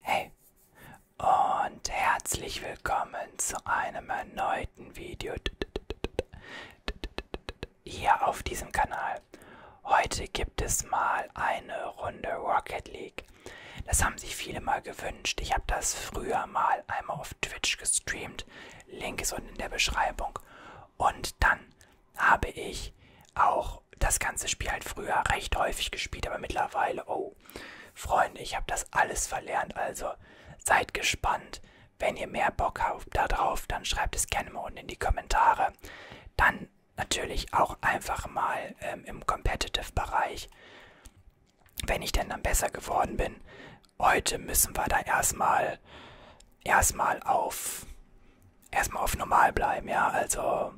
Hey und herzlich willkommen zu einem erneuten Video hier auf diesem Kanal. Heute gibt es mal eine Runde Rocket League. Das haben sich viele mal gewünscht. Ich habe das früher mal einmal auf Twitch gestreamt. Link ist unten in der Beschreibung. Und dann habe ich auch das ganze Spiel halt früher recht häufig gespielt, aber mittlerweile, oh so, Freunde, ich habe das alles verlernt, also seid gespannt. Wenn ihr mehr Bock habt darauf, dann schreibt es gerne mal unten in die Kommentare. Dann natürlich auch einfach mal ähm, im Competitive-Bereich, wenn ich denn dann besser geworden bin. Heute müssen wir da erstmal erstmal auf erstmal auf normal bleiben, ja, also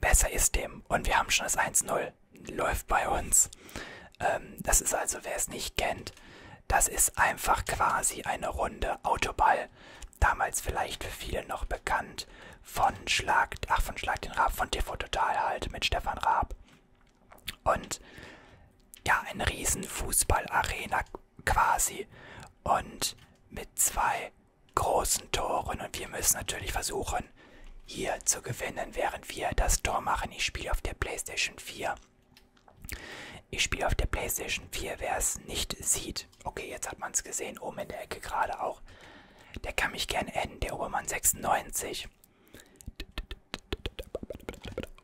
besser ist dem. Und wir haben schon das 1-0. Läuft bei uns. Ähm, das ist also, wer es nicht kennt, das ist einfach quasi eine Runde Autoball. Damals vielleicht für viele noch bekannt von Schlag, ach von Schlag den Raab, von TV Total halt mit Stefan Raab. Und ja, eine riesen Fußballarena quasi. Und mit zwei großen Toren und wir müssen natürlich versuchen, hier zu gewinnen, während wir das Tor machen. Ich spiele auf der PlayStation 4. Ich spiele auf der PlayStation 4, wer es nicht sieht. Okay, jetzt hat man es gesehen, oben in der Ecke gerade auch. Der kann mich gern adden, der Obermann 96.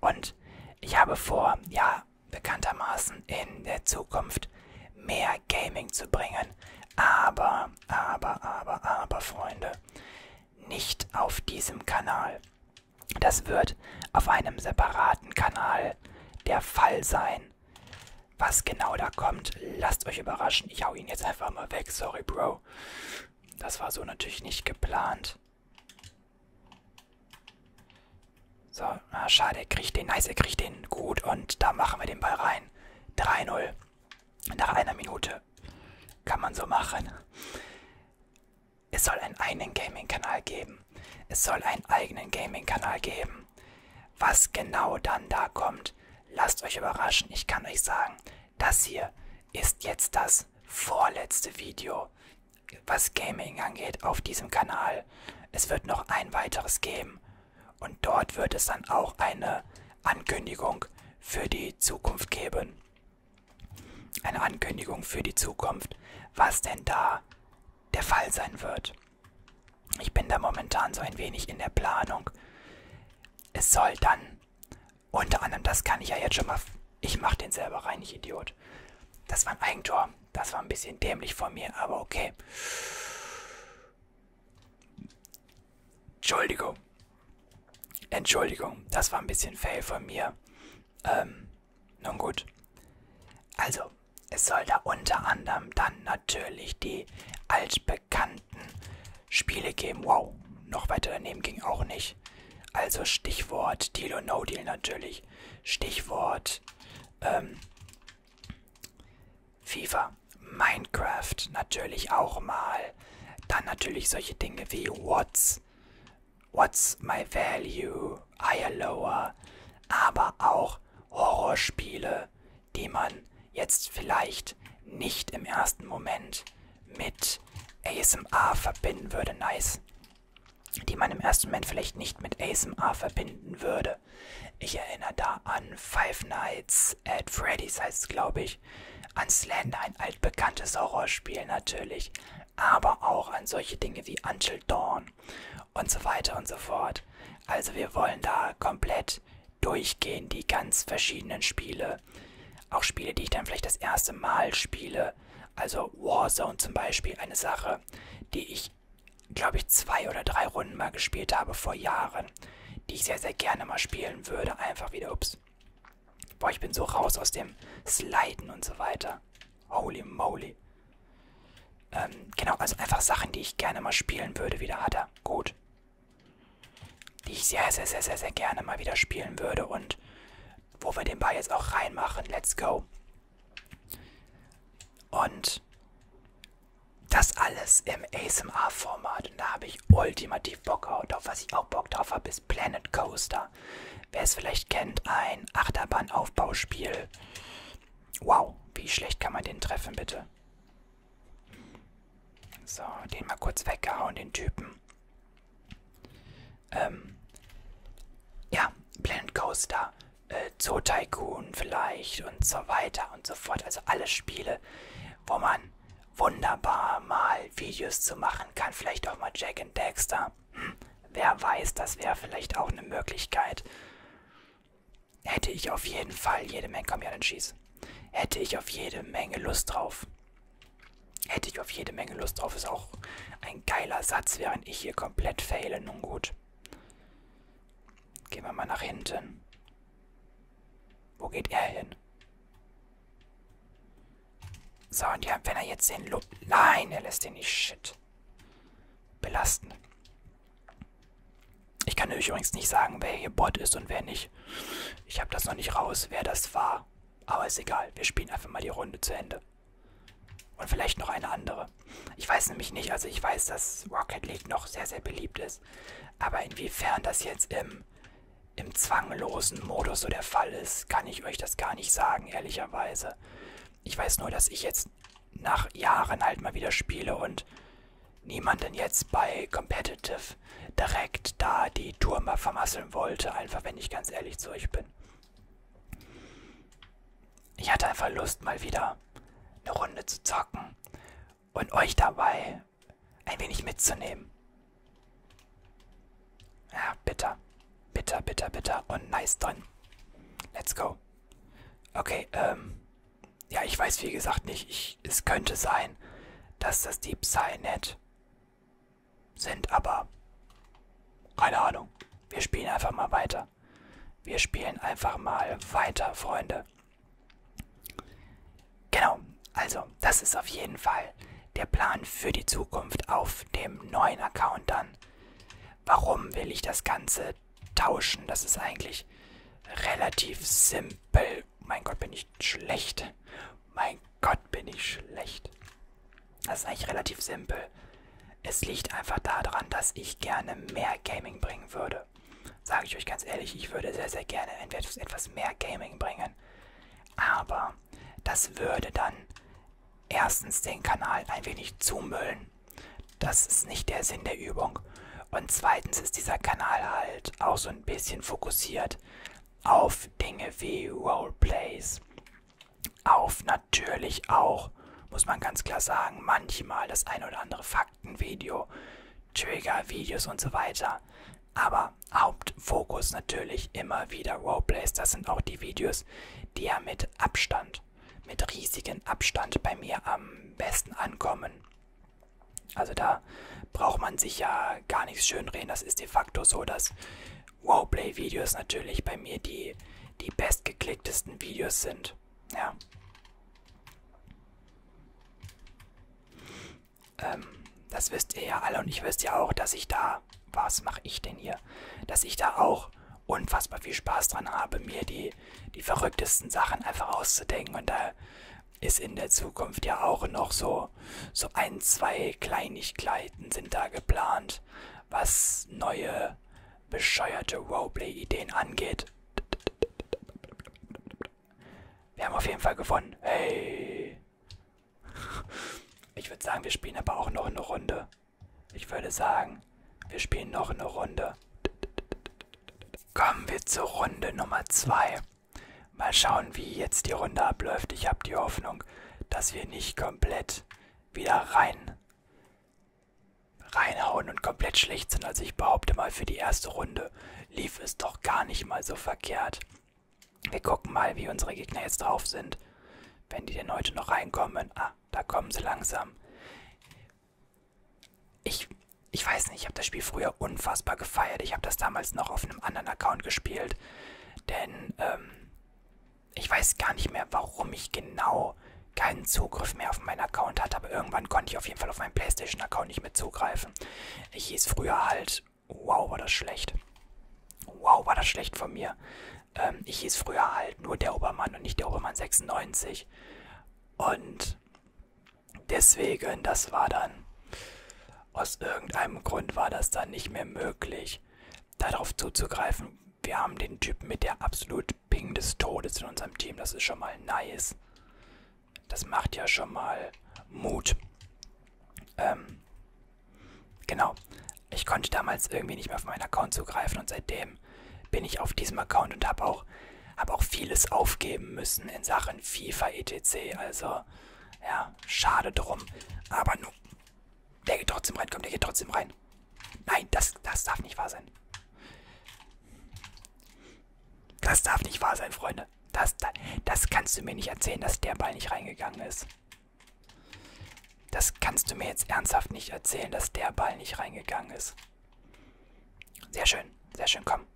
Und ich habe vor, ja, bekanntermaßen in der Zukunft mehr Gaming zu bringen sein. Aber, aber, aber, aber, Freunde, nicht auf diesem Kanal. Das wird auf einem separaten Kanal der Fall sein. Was genau da kommt, lasst euch überraschen. Ich hau ihn jetzt einfach mal weg. Sorry, Bro. Das war so natürlich nicht geplant. So, Tor. Ah, schade, er kriegt den. Nice, er kriegt den. Gut, und da machen wir den Ball rein. 3-0. Nach einer Minute. Kann man so machen. Es soll einen eigenen Gaming-Kanal geben. Es soll einen eigenen Gaming-Kanal geben. Was genau dann da kommt, lasst euch überraschen. Ich kann euch sagen, das hier ist jetzt das vorletzte Video, was Gaming angeht auf diesem Kanal. Es wird noch ein weiteres geben. Und dort wird es dann auch eine Ankündigung für die Zukunft geben. Eine Ankündigung für die Zukunft, was denn da der Fall sein wird. Ich bin da momentan so ein wenig in der Planung. Es soll dann unter anderem, das kann ich ja jetzt schon mal, ich mache den selber rein, ich Idiot. Das war ein Eigentor, das war ein bisschen dämlich von mir, aber okay. Entschuldigung. Entschuldigung, das war ein bisschen fail von mir. Ähm, nun gut. Also, es soll da unter anderem dann natürlich die altbekannten Spiele geben. Wow, noch weiter daneben ging auch nicht. Also Stichwort Deal und No Deal natürlich. Stichwort ähm, FIFA, Minecraft natürlich auch mal. Dann natürlich solche Dinge wie What's, What's My Value, Higher Lower, aber auch Horrorspiele, die man jetzt vielleicht nicht im ersten Moment mit ASMR verbinden würde. Nice. Die man im ersten Moment vielleicht nicht mit ASMR verbinden würde. Spiele. Ich erinnere da an Five Nights at Freddy's heißt es, glaube ich. An Slender, ein altbekanntes Horrorspiel natürlich. Aber auch an solche Dinge wie Until Dawn und so weiter und so fort. Also wir wollen da komplett durchgehen, die ganz verschiedenen Spiele. Auch Spiele, die ich dann vielleicht das erste Mal spiele. Also Warzone zum Beispiel, eine Sache, die ich ich, glaube ich, zwei oder drei Runden mal gespielt habe vor Jahren, die ich sehr, sehr gerne mal spielen würde. Einfach wieder, ups. Boah, ich bin so raus aus dem Sliden und so weiter. Holy moly. Ähm, genau, also einfach Sachen, die ich gerne mal spielen würde, wieder hat er. Gut. Die ich sehr, sehr, sehr, sehr, sehr gerne mal wieder spielen würde und wo wir den Ball jetzt auch reinmachen. Let's go. Und das alles im ASMR-Format. Und da habe ich ultimativ Bock drauf. Was ich auch Bock drauf habe, ist Planet Coaster. Wer es vielleicht kennt, ein Achterbahnaufbauspiel. Wow, wie schlecht kann man den treffen, bitte? So, den mal kurz weggehauen, den Typen. Ähm, ja, Planet Coaster äh, Zoo Tycoon vielleicht und so weiter und so fort. Also alle Spiele, wo man wunderbar mal Videos zu machen kann. Vielleicht auch mal Jack and Dexter. Hm, wer weiß, das wäre vielleicht auch eine Möglichkeit. Hätte ich auf jeden Fall jede Menge, komm ja, dann schieß. Hätte ich auf jede Menge Lust drauf. Hätte ich auf jede Menge Lust drauf, ist auch ein geiler Satz, während ich hier komplett fehle. Nun gut. Gehen wir mal nach hinten. Wo geht er hin? So, und ja, wenn er jetzt den Lob... Nein, er lässt den nicht shit belasten. Ich kann übrigens nicht sagen, wer hier Bot ist und wer nicht. Ich habe das noch nicht raus, wer das war. Aber ist egal, wir spielen einfach mal die Runde zu Ende. Und vielleicht noch eine andere. Ich weiß nämlich nicht, also ich weiß, dass Rocket League noch sehr, sehr beliebt ist. Aber inwiefern das jetzt im, im zwanglosen Modus so der Fall ist, kann ich euch das gar nicht sagen, ehrlicherweise. Ich weiß nur, dass ich jetzt nach Jahren halt mal wieder spiele und niemanden jetzt bei Competitive direkt da die Tour mal vermasseln wollte, einfach wenn ich ganz ehrlich zu euch bin ich hatte einfach Lust, mal wieder eine Runde zu zocken und euch dabei ein wenig mitzunehmen. Ja, bitter. Bitter, bitter, bitter. Und nice drin. Let's go. Okay, ähm. Ja, ich weiß wie gesagt nicht. Ich, es könnte sein, dass das die Psynet sind, aber keine Ahnung. Wir spielen einfach mal weiter weiter. Wir spielen einfach mal weiter, Freunde. Genau, also das ist auf jeden Fall der Plan für die Zukunft auf dem neuen Account dann. Warum will ich das Ganze tauschen? Das ist eigentlich relativ simpel. Mein Gott, bin ich schlecht. Mein Gott, bin ich schlecht. Das ist eigentlich relativ simpel. Es liegt einfach daran, dass ich gerne mehr Gaming bringen würde. Sage ich euch ganz ehrlich, ich würde sehr, sehr gerne etwas mehr Gaming bringen. Aber das würde dann erstens den Kanal ein wenig zumüllen. Das ist nicht der Sinn der Übung. Und zweitens ist dieser Kanal halt auch so ein bisschen fokussiert auf Dinge wie Roleplays, auf natürlich auch, muss man ganz klar sagen, manchmal das ein oder andere Faktenvideo, Trigger-Videos und so weiter. Aber Hauptfokus natürlich immer wieder Roleplays. Das sind auch die Videos, die ja mit Abstand, mit riesigem Abstand bei mir am besten ankommen. Also da braucht man sich ja gar nichts schönreden. Das ist de facto so, dass Wowplay-Videos natürlich bei mir die, die bestgeklicktesten Videos sind. Ja. Ähm, das wisst ihr ja alle und ich wisst ja auch, dass ich da, was mache ich denn hier, dass ich da auch unfassbar viel Spaß dran habe, mir die, die verrücktesten Sachen einfach auszudenken und da ist in der Zukunft ja auch noch so, so ein, zwei Kleinigkeiten sind da geplant, was neue bescheuerte Roleplay-Ideen angeht. Wir haben auf jeden Fall gewonnen. Hey. Ich würde sagen, wir spielen aber auch noch eine Runde. Ich würde sagen, wir spielen noch eine Runde. Kommen wir zur Runde Nummer 2. Mal schauen, wie jetzt die Runde abläuft. Ich habe die Hoffnung, dass wir nicht komplett wieder rein reinhauen und komplett schlecht sind. Also ich behaupte mal, für die erste Runde lief es doch gar nicht mal so verkehrt. Wir gucken mal, wie unsere Gegner jetzt drauf sind. Wenn die denn heute noch reinkommen. Ah, da kommen sie langsam. Ich, ich weiß nicht, ich habe das Spiel früher unfassbar gefeiert. Ich habe das damals noch auf einem anderen Account gespielt. Denn ähm, ich weiß gar nicht mehr, warum ich genau keinen Zugriff mehr auf meinen Account hatte, aber irgendwann konnte ich auf jeden Fall auf meinen PlayStation-Account nicht mehr zugreifen. Ich hieß früher halt, wow, war das schlecht. Wow, war das schlecht von mir. Ähm, ich hieß früher halt nur der Obermann und nicht der Obermann 96. Und deswegen, das war dann, aus irgendeinem Grund war das dann nicht mehr möglich darauf zuzugreifen. Wir haben den Typen mit der absolut Ping des Todes in unserem Team. Das ist schon mal nice. Das macht ja schon mal Mut. Ähm, genau. Ich konnte damals irgendwie nicht mehr auf meinen Account zugreifen und seitdem bin ich auf diesem Account und habe auch, hab auch vieles aufgeben müssen in Sachen FIFA etc. Also, ja, schade drum. Aber nun der geht trotzdem rein, komm, der geht trotzdem rein. Nein, das, das darf nicht wahr sein. Das darf nicht wahr sein, Freunde. Das, das, das kannst du mir nicht erzählen, dass der Ball nicht reingegangen ist. Das kannst du mir jetzt ernsthaft nicht erzählen, dass der Ball nicht reingegangen ist. Sehr schön, sehr schön, komm.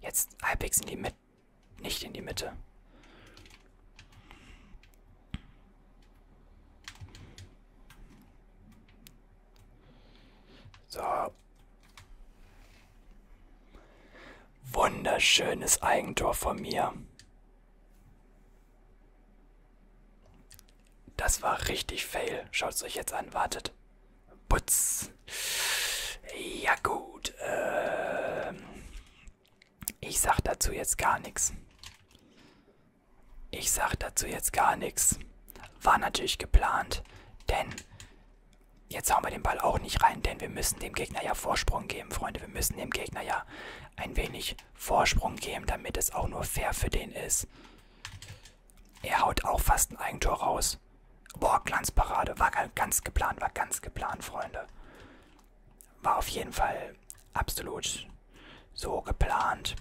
Jetzt halbwegs in die Mitte. Nicht in die Mitte. So. Wunderschönes Eigentor von mir. Das war richtig fail. Schaut es euch jetzt an. Wartet. Putz. Ja gut. Ähm, ich sag dazu jetzt gar nichts. Ich sag dazu jetzt gar nichts. War natürlich geplant, denn jetzt hauen wir den Ball auch nicht rein, denn wir müssen dem Gegner ja Vorsprung geben, Freunde. Wir müssen dem Gegner ja ein wenig Vorsprung geben, damit es auch nur fair für den ist. Er haut auch fast ein Eigentor raus. Boah, Glanzparade. War ganz geplant, war ganz geplant, Freunde. War auf jeden Fall absolut so geplant.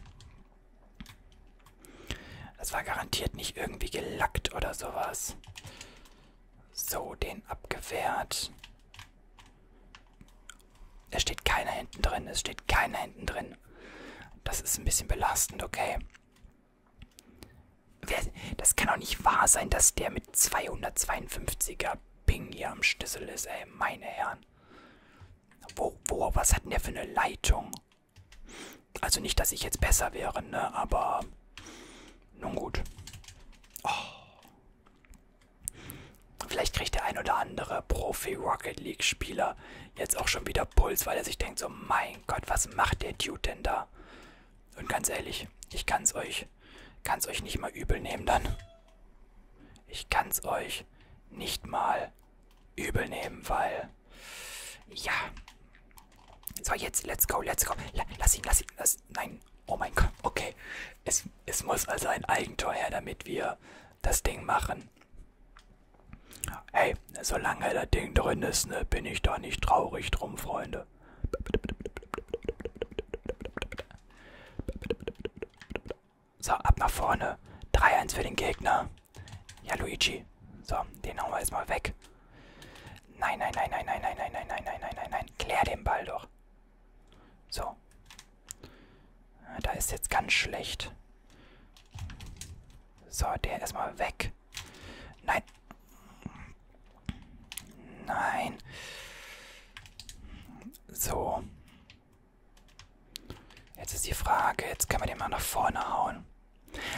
Das war garantiert nicht irgendwie gelackt oder sowas. So, den abgewehrt. Es steht keiner hinten drin, es steht keiner hinten drin. Das ist ein bisschen belastend, okay. Das kann doch nicht wahr sein, dass der mit 252er Ping hier am Schlüssel ist, ey, meine Herren. Wo, wo, was hat denn der für eine Leitung? Also nicht, dass ich jetzt besser wäre, ne, aber nun gut. Oh. Vielleicht kriegt der ein oder andere Profi-Rocket League-Spieler jetzt auch schon wieder Puls, weil er sich denkt so, mein Gott, was macht der Dude denn da? Und ganz ehrlich, ich kann es euch Kann's euch nicht mal übel nehmen dann. Ich kann's euch nicht mal übel nehmen, weil. Ja. So, jetzt, let's go, let's go. Lass ihn, lass ihn, lass. Nein. Oh mein Gott, okay. Es, es muss also ein Eigentor her, damit wir das Ding machen. Hey, solange das Ding drin ist, ne, bin ich da nicht traurig drum, Freunde. So, ab nach vorne. 3-1 für den Gegner. Ja, Luigi. So, den hauen wir jetzt mal weg. Nein, nein, nein, nein, nein, nein, nein, nein, nein, nein, nein, nein, nein. Klär den Ball doch. So. Da ist jetzt ganz schlecht. So, der erstmal weg. Nein. Nein. So. Jetzt ist die Frage, jetzt können wir den mal nach vorne hauen.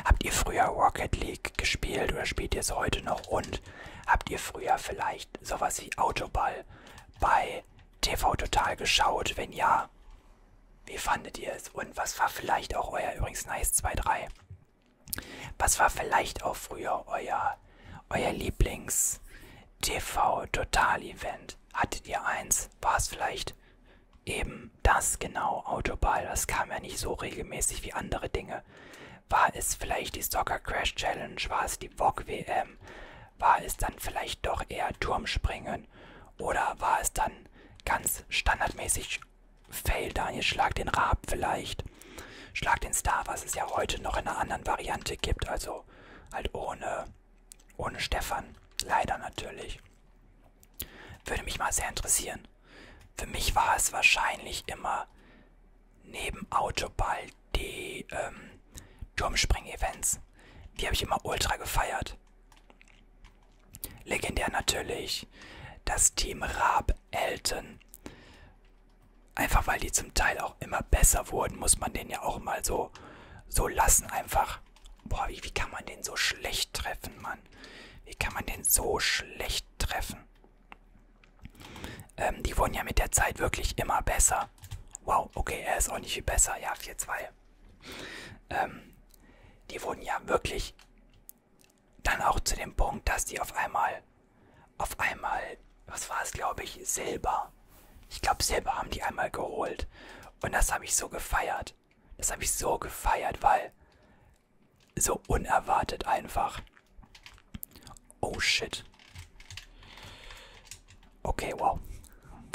Habt ihr früher Rocket League gespielt oder spielt ihr es heute noch? Und habt ihr früher vielleicht sowas wie Autoball bei TV Total geschaut? Wenn ja, wie fandet ihr es? Und was war vielleicht auch euer übrigens Nice 2-3? Was war vielleicht auch früher euer, euer Lieblings-TV-Total-Event? Hattet ihr eins? War es vielleicht eben das genau, Autoball? Das kam ja nicht so regelmäßig wie andere Dinge. War es vielleicht die Soccer Crash Challenge? War es die VOG WM? War es dann vielleicht doch eher Turmspringen? Oder war es dann ganz standardmäßig Fail, Daniel, schlag den Rab vielleicht? Schlag den Star, was es ja heute noch in einer anderen Variante gibt. Also halt ohne, ohne Stefan. Leider natürlich. Würde mich mal sehr interessieren. Für mich war es wahrscheinlich immer neben Autoball die ähm, Turmspring-Events. Die habe ich immer ultra gefeiert. Legendär natürlich das Team Raab Elton. Einfach weil die zum Teil auch immer besser wurden, muss man den ja auch mal so, so lassen. Einfach. Boah, wie, wie kann man den so schlecht treffen, Mann? Wie kann man den so schlecht treffen? Ähm, die wurden ja mit der Zeit wirklich immer besser. Wow, okay, er ist auch nicht viel besser. Ja, 4-2. Ähm, die wurden ja wirklich dann auch zu dem Punkt, dass die auf einmal, auf einmal, was war es, glaube ich, Silber. Ich glaube, Silber haben die einmal geholt. Und das habe ich so gefeiert. Das habe ich so gefeiert, weil so unerwartet einfach. Oh shit. Okay, wow.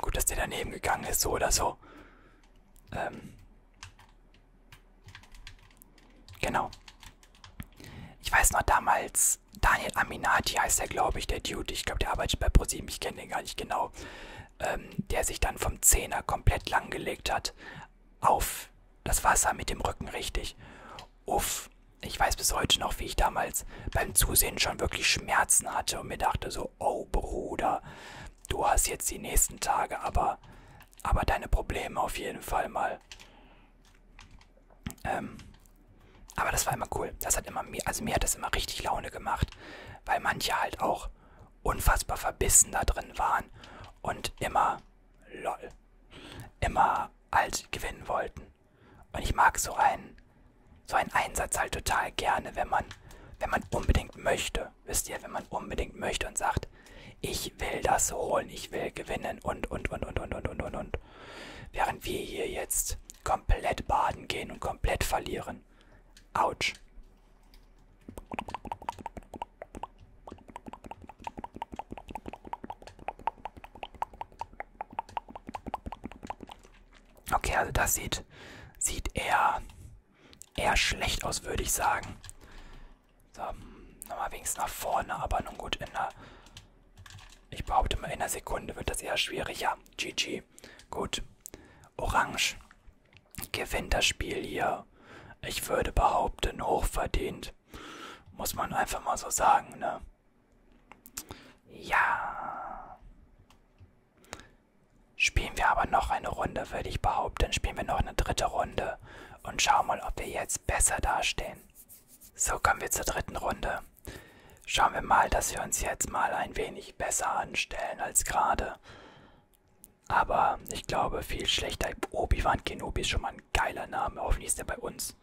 Gut, dass der daneben gegangen ist, so oder so. Ähm. Genau. Ich weiß noch damals, Daniel Aminati heißt der, glaube ich, der Dude. Ich glaube, der arbeitet bei ProSieben. Ich kenne den gar nicht genau. Ähm, der sich dann vom Zehner komplett langgelegt hat auf das Wasser mit dem Rücken richtig. Uff, ich weiß bis heute noch, wie ich damals beim Zusehen schon wirklich Schmerzen hatte und mir dachte so, oh Bruder, du hast jetzt die nächsten Tage aber, aber deine Probleme auf jeden Fall mal. Ähm, aber das war immer cool. Das hat immer mir, also mir hat das immer richtig Laune gemacht, weil manche halt auch unfassbar verbissen da drin waren und immer lol, immer halt gewinnen wollten. Und ich mag so einen, so einen Einsatz halt total gerne, wenn man, wenn man unbedingt möchte, wisst ihr, wenn man unbedingt möchte und sagt, gesagt, ich will das holen, ich will gewinnen und, und, und, und, und, und, und, und, und. Während wir hier jetzt komplett baden gehen und komplett verlieren. Autsch. Okay, also das sieht, sieht eher, eher schlecht aus, würde ich sagen. So, nochmal wenigstens nach vorne, aber nun gut, in der... Ich behaupte mal, in einer Sekunde wird das eher schwieriger. GG. Gut. Orange gewinnt das Spiel hier. Ich würde behaupten, hochverdient. Muss man einfach mal so sagen, ne? Ja. Spielen wir aber noch eine Runde, würde ich behaupten. Spielen wir noch eine dritte Runde und schauen mal, ob wir jetzt etwas besser dastehen. So kommen wir zur dritten Runde. Schauen wir mal, dass wir uns jetzt mal ein wenig besser anstellen als gerade. Aber ich glaube, viel schlechter. Obi-Wan Kenobi ist schon mal ein geiler Name. Hoffentlich ist er bei uns.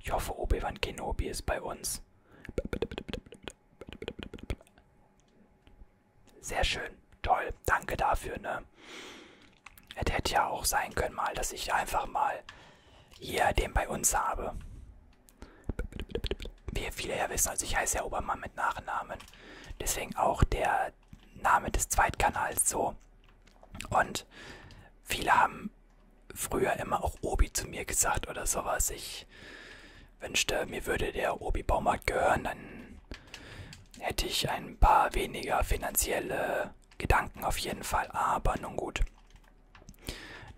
Ich hoffe, Obi-Wan Kenobi ist bei uns. Sehr schön. Toll. Danke dafür, ne? Es hätte ja auch sein können mal, dass ich einfach mal hier den bei uns habe. Wie viele ja wissen, also ich heiße ja Obermann mit Nachnamen. Deswegen auch der Name des Zweitkanals so. Und viele haben früher immer auch Obi zu mir gesagt oder sowas. Ich wünschte, mir würde der Obi-Baumarkt gehören, dann hätte ich ein paar weniger finanzielle Gedanken auf jeden Fall, aber nun gut.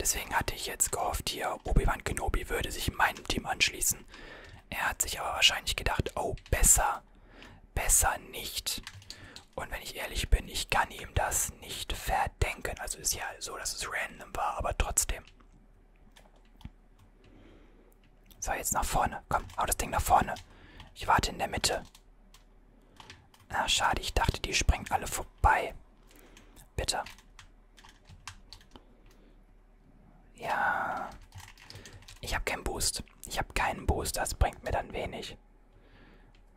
Deswegen hatte ich jetzt gehofft, hier Obi-Wan Kenobi würde sich meinem Team anschließen. Er hat sich aber wahrscheinlich gedacht, oh, besser, besser nicht. Und wenn ich ehrlich bin, ich kann ihm das nicht verdenken. Also ist ja so, dass es random war, aber trotzdem. So, jetzt nach vorne. Komm, hau das Ding nach vorne. Ich warte in der Mitte. Ah, schade, ich dachte, die springen alle vorbei. Bitte. Ja. Ich habe keinen Boost. Ich habe keinen Boost, das bringt mir dann wenig.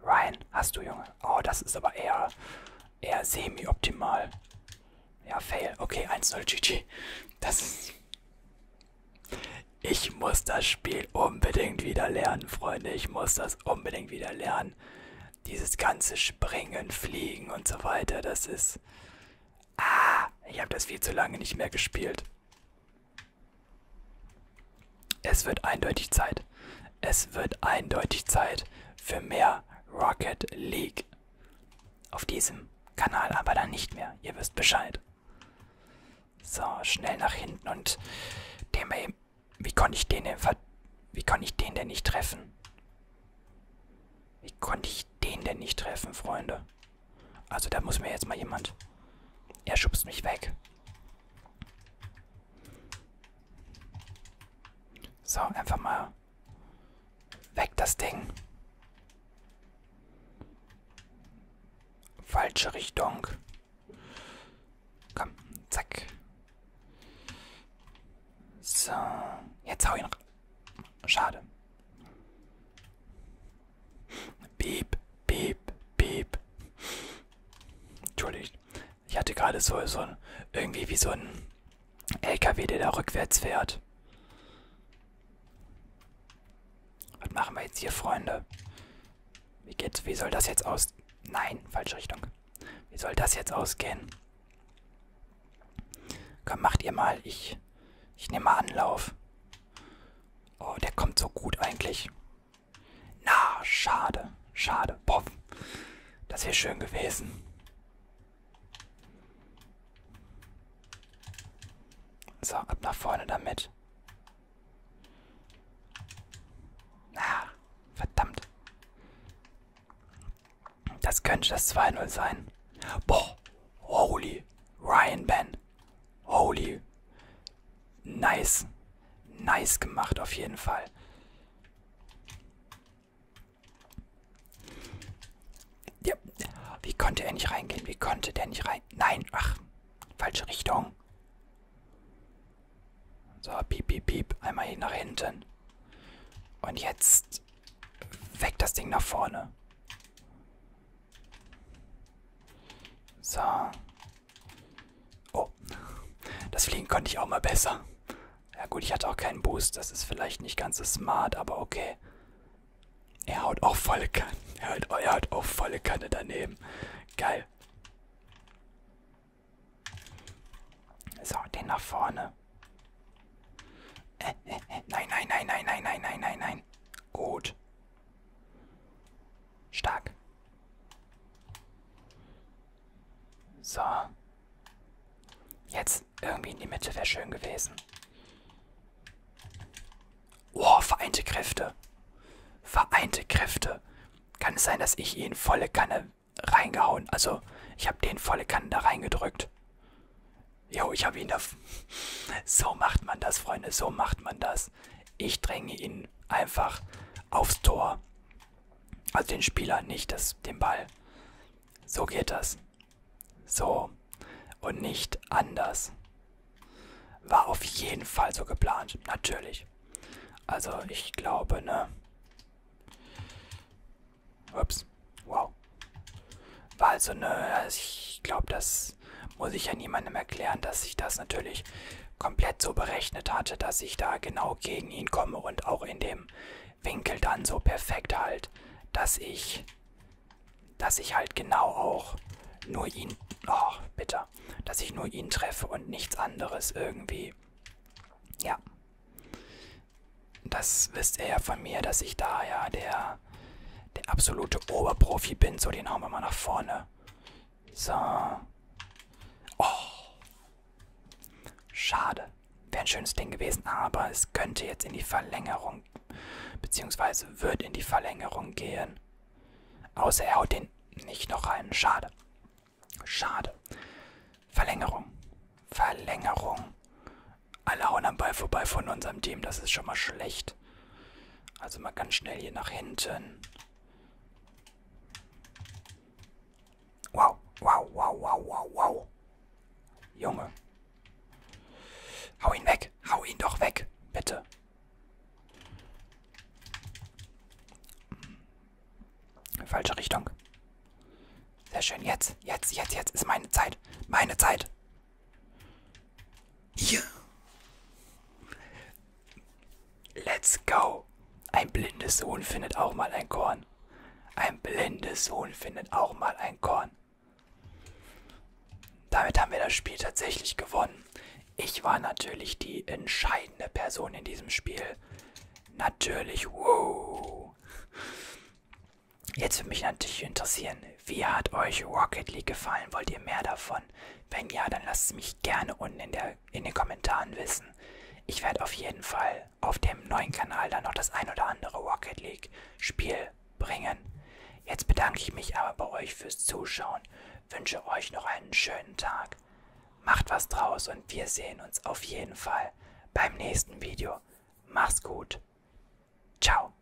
Ryan, hast du, Junge? Oh, das ist aber eher, eher semi-optimal. Ja, fail. Okay, 1-0 GG. Das ist ich muss das Spiel unbedingt wieder lernen, Freunde. Ich muss das unbedingt wieder lernen. Dieses ganze Springen, Fliegen und so weiter, das ist... Ah, ich habe das viel zu lange nicht mehr gespielt. Es wird eindeutig Zeit. Es wird eindeutig Zeit für mehr Rocket League. Auf diesem Kanal aber dann nicht mehr. Ihr wisst Bescheid. So, schnell nach hinten und den mal eben. Wie konnte ich den denn Wie konnte ich den denn nicht treffen? Wie konnte ich den denn nicht treffen, Freunde? Also da muss mir jetzt mal jemand. Er schubst mich weg. So, einfach mal weg das Ding. Falsche Richtung. Komm, zack. So, jetzt hau ihn. Schade. Piep, piep, piep. Entschuldigt. Ich hatte gerade so, so irgendwie wie so ein LKW, der da rückwärts fährt. Was machen wir jetzt hier, Freunde? Wie geht's? Wie soll das jetzt aus... Nein, falsche Richtung. Wie soll das jetzt ausgehen? Komm, macht ihr mal. Ich, ich nehme mal Anlauf. Oh, der kommt so gut eigentlich. Na, schade. Schade. Boff. Das wäre schön gewesen. So, ab nach vorne damit. Ah, verdammt. Das könnte das 2-0 sein. Boah, holy. Ryan Ben. Holy. Nice. Nice gemacht auf jeden Fall. Ja. Wie konnte er nicht reingehen? Wie konnte der nicht rein? Nein, ach, falsche Richtung. So, piep, piep, piep. Einmal hier nach hinten. Und jetzt weg das Ding nach vorne. So. Oh. Das Fliegen konnte ich auch mal besser. Ja gut, ich hatte auch keinen Boost. Das ist vielleicht nicht ganz so smart, aber okay. Er haut auch volle Kanne. Er haut, er haut auch volle Kanne daneben. Geil. So, den nach vorne. Äh, äh, äh. Nein, nein, nein, nein, nein, nein, nein, nein, nein. Gut. Stark. So. Jetzt. Irgendwie in die Mitte wäre schön gewesen. Oh, vereinte Kräfte. Vereinte Kräfte. Kann es sein, dass ich ihn volle Kanne reingehauen? Also, ich habe den volle Kanne da reingedrückt. Jo, ich habe ihn da... So macht man das, Freunde. So macht man das. Ich dränge ihn einfach aufs Tor. Also den Spieler, nicht das, den Ball. So geht das. So. Und nicht anders. War auf jeden Fall so geplant. Natürlich. Also ich glaube, ne. Ups. Wow. War also ne. Also ich glaube, das muss ich ja niemandem erklären, dass ich das natürlich komplett so berechnet hatte, dass ich da genau gegen ihn komme und auch in dem Winkel dann so perfekt halt, dass ich dass ich halt genau auch nur ihn, oh, bitter, dass ich nur ihn treffe und nichts anderes irgendwie. Ja. Das wisst ihr ja von mir, dass ich da ja der, der absolute Oberprofi bin. So, den hauen wir mal nach vorne. So. Oh. Schade. Wäre ein schönes Ding gewesen, aber es könnte jetzt in die Verlängerung beziehungsweise wird in die Verlängerung gehen. Außer er haut den nicht noch rein. Schade. Schade. Verlängerung. Verlängerung. Alle hauen am Ball vorbei von unserem Team. Das ist schon mal schlecht. Also mal ganz schnell hier nach hinten. Wow, wow, wow, wow, wow, wow. Junge, Hau ihn weg. Hau ihn doch weg. Bitte. Falsche Richtung. Sehr schön. Jetzt, jetzt, jetzt, jetzt ist meine Zeit. Meine Zeit. Hier. Let's go. Ein blindes Huhn findet auch mal ein Korn. Ein blindes Huhn findet auch mal ein Korn. Damit haben wir das Spiel tatsächlich gewonnen. Ich war natürlich die entscheidende Person in diesem Spiel. Natürlich, wow. Jetzt würde mich natürlich interessieren, wie hat euch Rocket League gefallen? Wollt ihr mehr davon? Wenn ja, dann lasst es mich gerne unten in, der, in den Kommentaren wissen. Ich werde auf jeden Fall auf dem neuen Kanal dann noch das ein oder andere Rocket League Spiel bringen. Jetzt bedanke ich mich aber bei euch fürs Zuschauen, wünsche euch noch einen schönen Tag. Macht was draus und wir sehen uns auf jeden Fall beim nächsten Video. Mach's gut. Ciao.